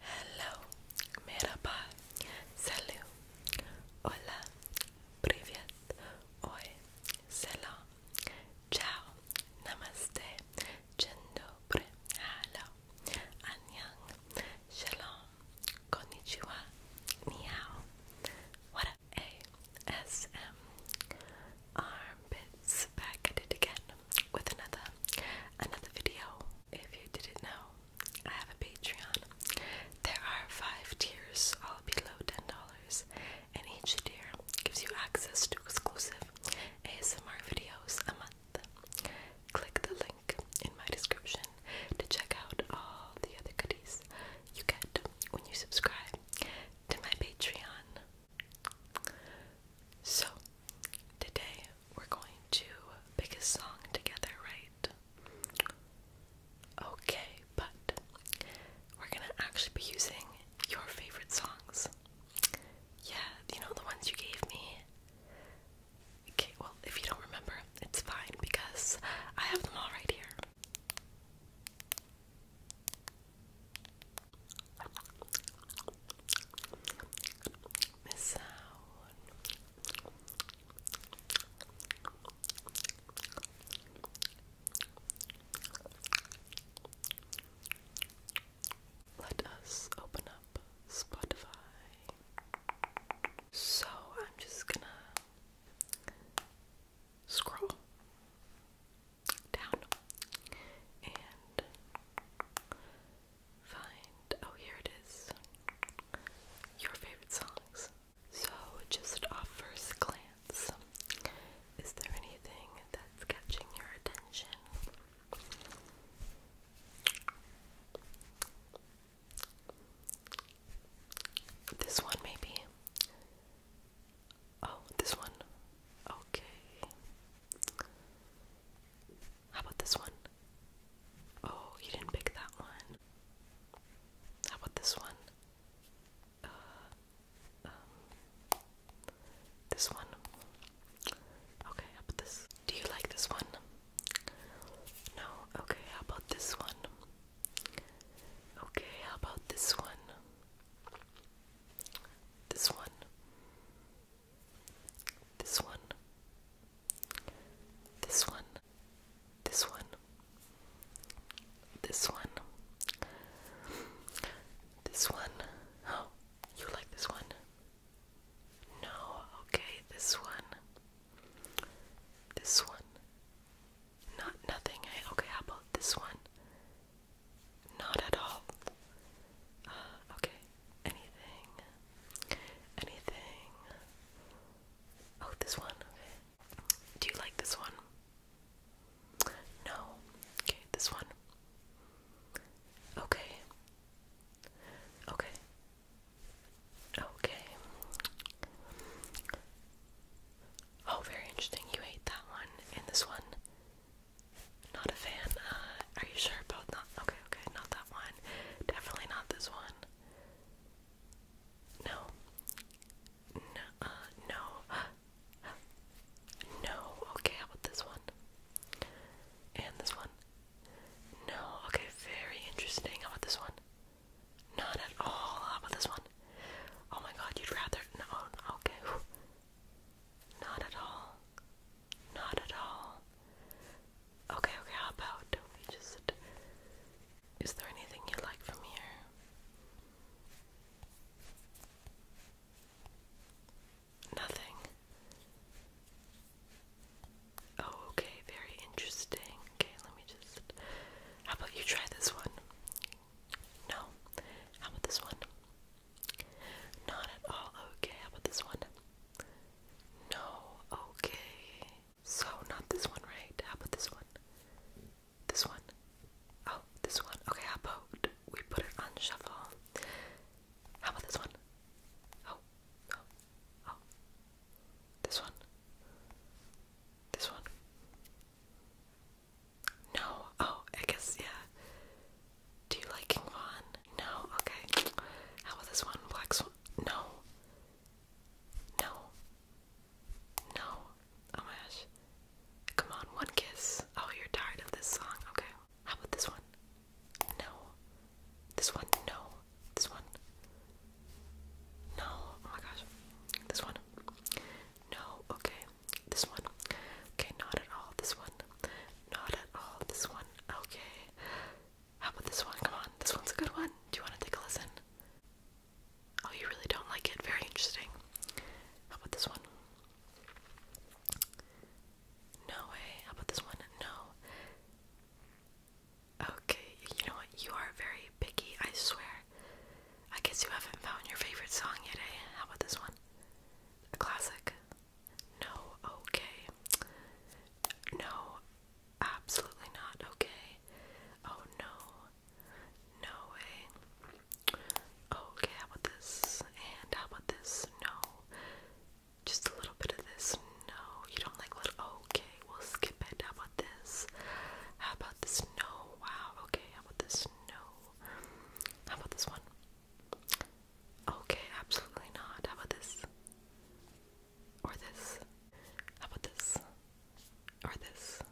Hello, merhaba, salut, hola, привет, oi, ciao, namaste, chendobre, hello, annyeong, shalom, konnichiwa, ni what ASM, armpits, back again with another another video. If you didn't know, I have a Patreon. There are five tiers, all below ten dollars, and each tier gives you access to exclusive ASMR videos a month. Click the link in my description to check out all the other goodies you get when you subscribe to my Patreon. So, today we're going to pick a song together, right? Okay, but we're gonna actually be using your favorite songs. Yeah, you know the ones you gave me. Okay, well, if you don't remember, it's fine because I have them all right here. Missouri. Let us open up Spotify. So I'm just gonna scroll down and find oh here it is your favorite songs. So just off first glance, is there anything that's catching your attention? This one maybe. Oh, this one. Okay. How about this one? Oh, you didn't pick that one. How about this one? Uh, um, this one. Okay, how about this? Do you like this one? No. Okay, how about this one? Okay, how about this one? This one. This one. This one. This one. This one. This one. Oh, you like this one? No, okay, this one. This one. Not nothing. Hey, eh? okay, how about this one? Not at all. Uh, okay. Anything. Anything. Oh, this one. Okay. Do you like this one? No. Okay, this one. Okay. Okay. Okay. Oh, very interesting. You ate that one and this one. Not a fan. Uh, are you sure both not? Okay, okay, not that one. Definitely not this one. No. No, uh, no. No, okay, how about this one? And this one? No, okay, very interesting. How about this one? Not at all. How about this one? Oh my god, you'd rather. No, okay. Not at all. Not at all. Okay, okay, how about we just. Is there anything you like from here? Nothing. Oh, okay, very interesting. Okay, let me just. How about you try this one? No. How about this one? Not at all okay. How about this one? No, okay. So, not this one, right? How about this one? This one? Oh, this one. Okay, how about we put it on shuffle? How about this one? Oh, oh, oh. This one? This one? No. Oh, I guess yeah. Do you like King Vaughn? No. Okay. How about this one? Black No. No. No. Oh my gosh. Come on, one kiss. Oh, you're tired of this song. Okay. How about this one? No. This one? No. This one? No. Oh my gosh. This one. No, okay. This one. Okay, not at all. This one. Not at all. This one. Okay. How about this one? Come on. This one's a good one. Do you want to take a listen? Oh, you really don't like it. Very interesting. How about this one? No way. How about this one? No. Okay, you know what? You are very picky, I swear. I guess you haven't found your favorite song yet, eh? How about this one? A classic? No, okay. No, absolutely not okay. Oh no. No way. Okay, how about this? And how about this? No. Just a little bit of this. No, you don't like little. Okay, we'll skip it. How about this? How about this? No. Wow. Okay, how about this? No. How about this one? Okay, absolutely not. How about this? Or this? How about this? Or this?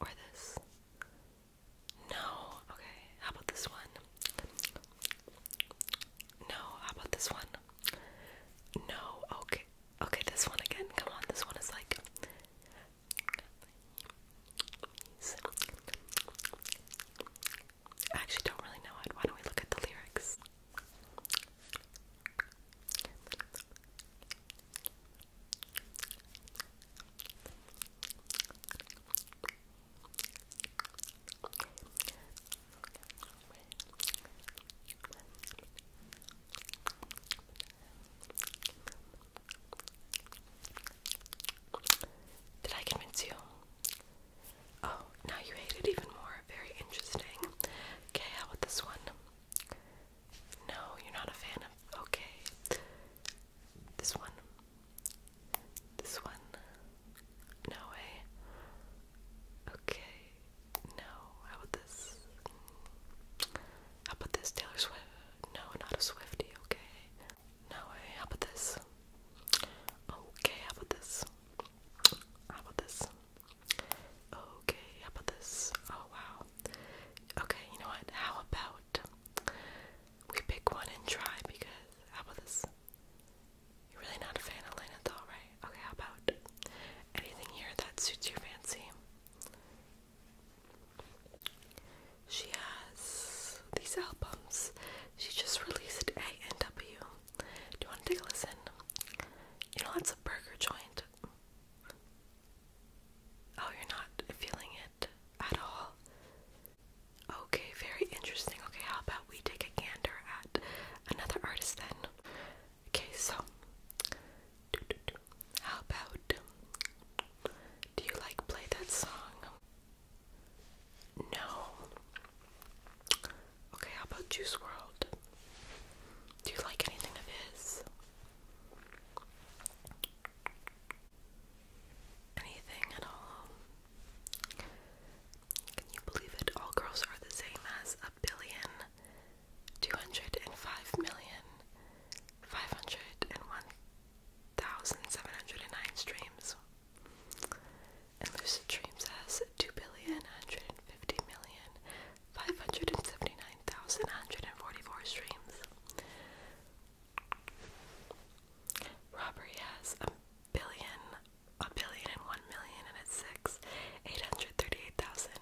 Or this? No. Okay, how about this one? No. How about this one? No. Okay. Okay, this one again. Come on, this one is like I actually don't really know it. Why don't we look at the lyrics? Thank did I convince you? Oh, now you hate it even more. Very interesting. Okay, how about this one? No, you're not a fan of. Okay. This one. This one. No way. Okay. No. How about this? How about this, Taylor Swift? No, not a Swifty, okay? No way, how about this? Okay, how about this? How about this? Okay, how about this? Oh wow. Okay, you know what? How about we pick one and try because how about this? You're really not a fan of Lana Del Rey. Okay, how about anything here that suits your fancy? She has these albums. She just released A and W. Do you want to take a listen? You know that's a burger joint. Oh, you're not feeling it at all. Okay, very interesting. Okay, how about we take a gander at another artist then? Okay, so how about do you like play that song? No. Okay, how about Juice World? Do you like anything of his? Anything at all? Can you believe it? All girls are the same as a billion two hundred and five million five hundred and one thousand seven hundred and nine streams. And Lucid Dreams has two billion hundred and fifty million five hundred and seventy nine thousand hundred and forty four streams. Robbery has a billion, a billion and one million and it's six, eight hundred thirty eight thousand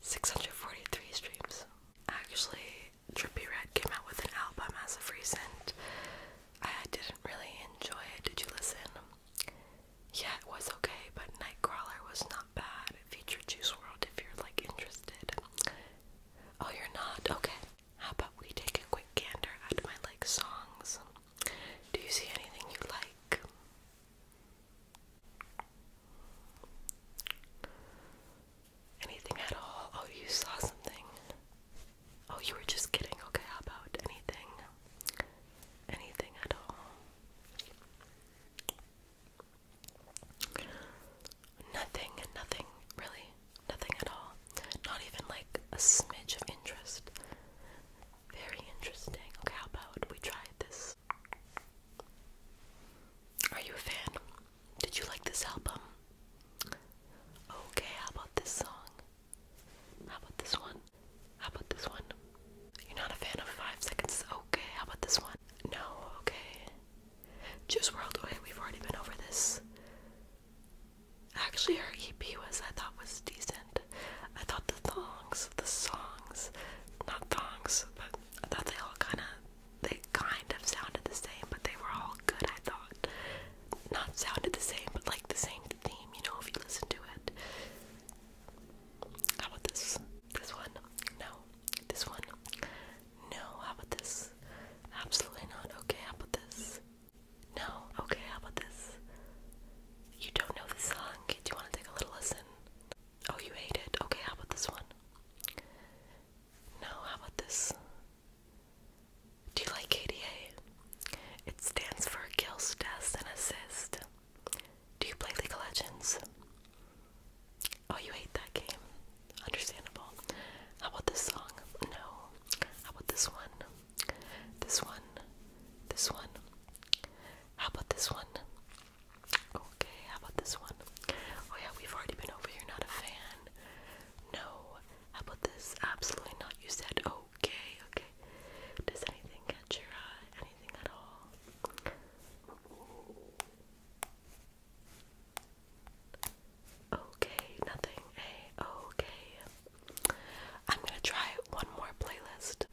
643 streams. Actually, Trippy Red came out with an album as of recent. I didn't really enjoy it. Did you listen? Yeah, it was okay, but Nightcrawler was not bad. It featured Juice World if you're like interested. Oh, you're not? Okay. How about we take a quick gander at my like songs? Do you see anything you like? Anything at all? Oh, you saw something. Oh, you were just kidding. Okay, how about anything? Anything at all? Nothing, nothing, really. Nothing at all. Not even like a smidge of interest. Very interesting. Okay, how about we try this? Are you a fan? Did you like this album? Okay, how about this song? How about this one? How about this one? You're not a fan of Five Seconds? Okay, how about this one? No, okay. Juice World, okay, we've already been over this. Actually, her EP was, I thought, was decent. I thought the thongs, the songs, not thongs, but I thought they all kind of, they kind of sounded the same, but they were all good, I thought. Not sounded the same, but like the same theme, you know, if you listen to it. How about this? This one? No. This one? No. How about this? Absolutely not. Okay, how about this? No. Okay, how about this? You don't know the song. Do you want to take a little listen? Oh, you hate it? Okay, how about this one? No, how about this? Do you like KDA? It stands for Kill, Death, and Assist. Do you play League of Legends? Oh, you hate that game. Understandable. How about this song? No. How about this one? This one? This one? How about this one? Okay, how about this one? Oh yeah, we've already been over here, not a fan. No. How about this? Absolutely not. You said okay, okay. Does anything catch your eye? Anything at all? Okay, nothing. okay. I'm gonna try one more playlist.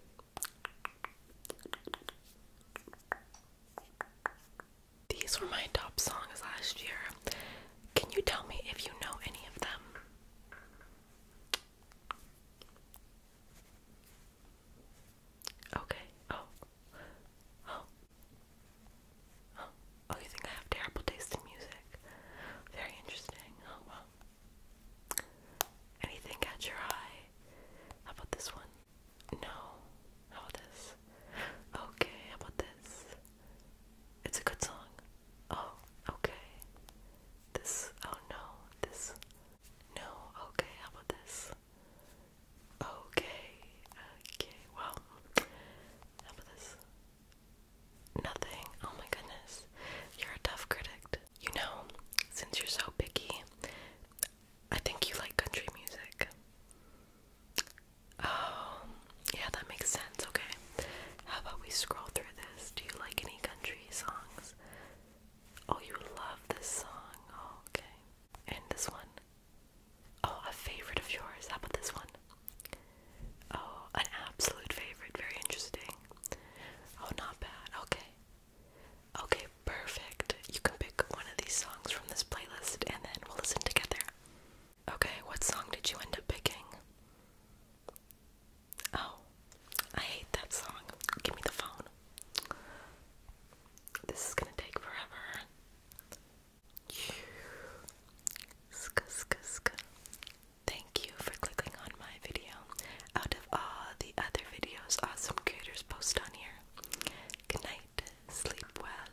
These were my top songs last year. Can you tell me if you know any of them? Okay. Oh. Oh. Oh. Oh, you think I have terrible taste in music? Very interesting. Oh, well. Anything catch your eye? How about this one? No. How about this? Okay, how about this? It's a good song. Oh, okay. This, oh no, this. No, okay, how about this? Okay, okay, well, how about this? Nothing. Oh my goodness. You're a tough critic. You know, since you're so picky, I think you like country music. Oh, yeah, that makes sense. Okay. How about we scroll through this? Do you like any country songs? Oh, you love this song. Oh, okay. And this one? Oh, a favorite of yours. How about this one? Oh, an absolute favorite. Very interesting. Oh, not bad. Okay. Okay, perfect. You can pick one of these songs from this playlist and then we'll listen together. Okay, what song did you end up picking? Oh, I hate that song. Give me the phone. This is gonna take forever. Ska, Thank you for clicking on my video. Out of all the other videos awesome creators post on here. Good night. Sleep well.